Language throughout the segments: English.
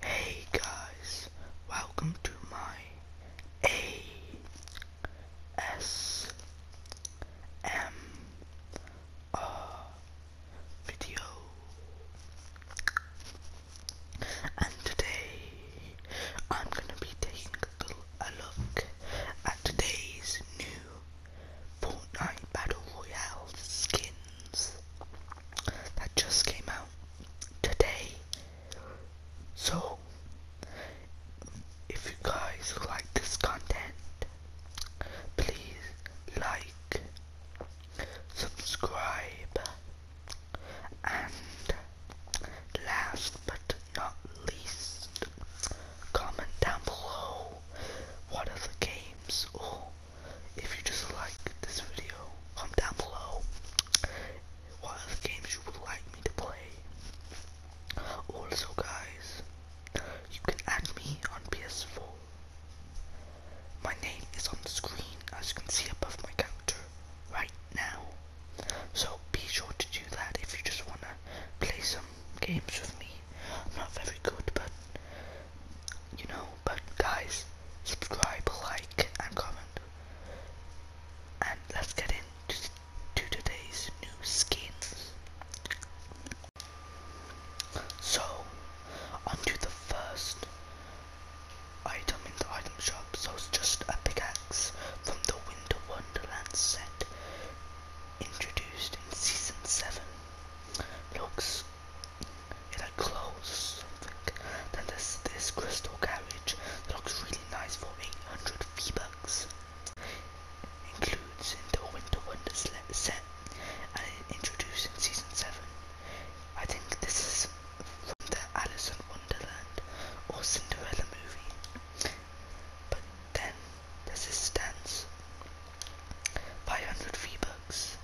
Hey guys, welcome to my A S M R video. And today I'm gonna be taking a look at today's new Fortnite Battle Royale skin that just came out today. So, if you guys like this content, please like, subscribe, and last but not least, comment down below what other games if you just like this video, comment down below what other games you would like me to play. Also guys, you can add me on PS4. My name is on the screen as you can see above my counter right now. So be sure to do that if you just wanna play some games with me. I'm not very good but you know, but guys, subscribe, like, and comment. And let's get into today's new skins. So, onto the first item in the item shop. So it's just a pickaxe from the Winter Wonderland set, introduced in season seven. Looks in a close Then there's this crystal carriage looks really nice for 800 v Includes in the Winter Wonders set and introduced in Season 7. I think this is from the Alice in Wonderland or Cinderella movie. But then there's this dance 500 V-Bucks,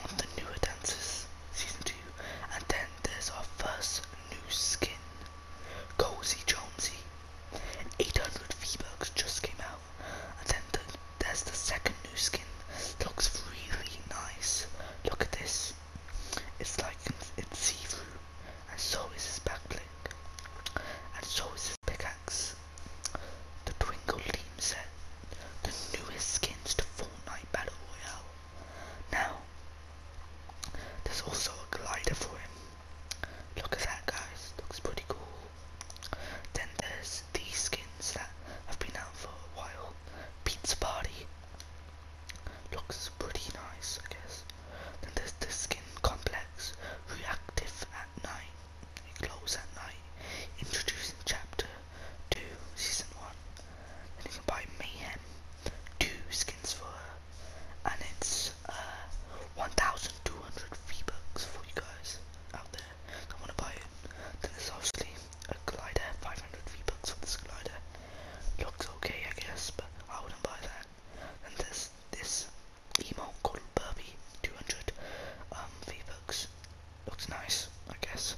one of the newer dances, season 2, and then there's our first new skin, Cozy Jonesy. 800 V-Bucks just came out, and then there's the second new skin, looks really nice. Look at this, it's like it's see-through, and so is his back bling, and so is his pickaxe. The Twinkle team set the newest skins to Fortnite Battle Royale. Now, there's also a glider for him. Look at that, guys. Looks pretty cool. Then there's these skins that have been out for a while. Pizza Party. Looks pretty nice, I guess. Then there's the skin complex, reactive at night. It at night. Introducing chapter 2, season 1. Then you can buy Mayhem 2 skins for And it's uh, 1,200 free bucks for you guys out there that want to buy it. Then there's obviously a glider, 500 free bucks for this glider. Looks okay, I guess, but I wouldn't buy that. And there's this email called Burby 200 um, V-Bucks. Looks nice, I guess.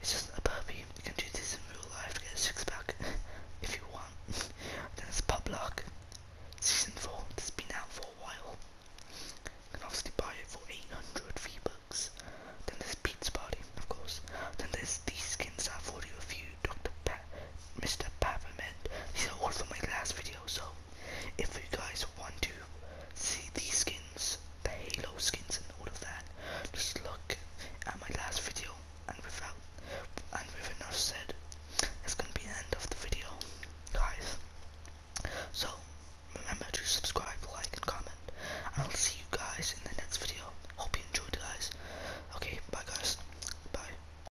It's just a burpee. You can do this in real life to get a six pack if you want. then it's Pub Luck Season 4. It's been out for a while. You can obviously buy it for 800 V-Bucks. Then there's Pete's Party, of course. Then there's these skins I've already reviewed, Dr. Pa Mr. Peppermint. These are all from my last video, so if you guys want to see these skins, the Halo skins and all of that, just look at my last video and without and with enough said, it's gonna be the end of the video, guys. So remember to subscribe, like and comment. I'll see you guys in the next video. Hope you enjoyed guys. Okay, bye guys. Bye.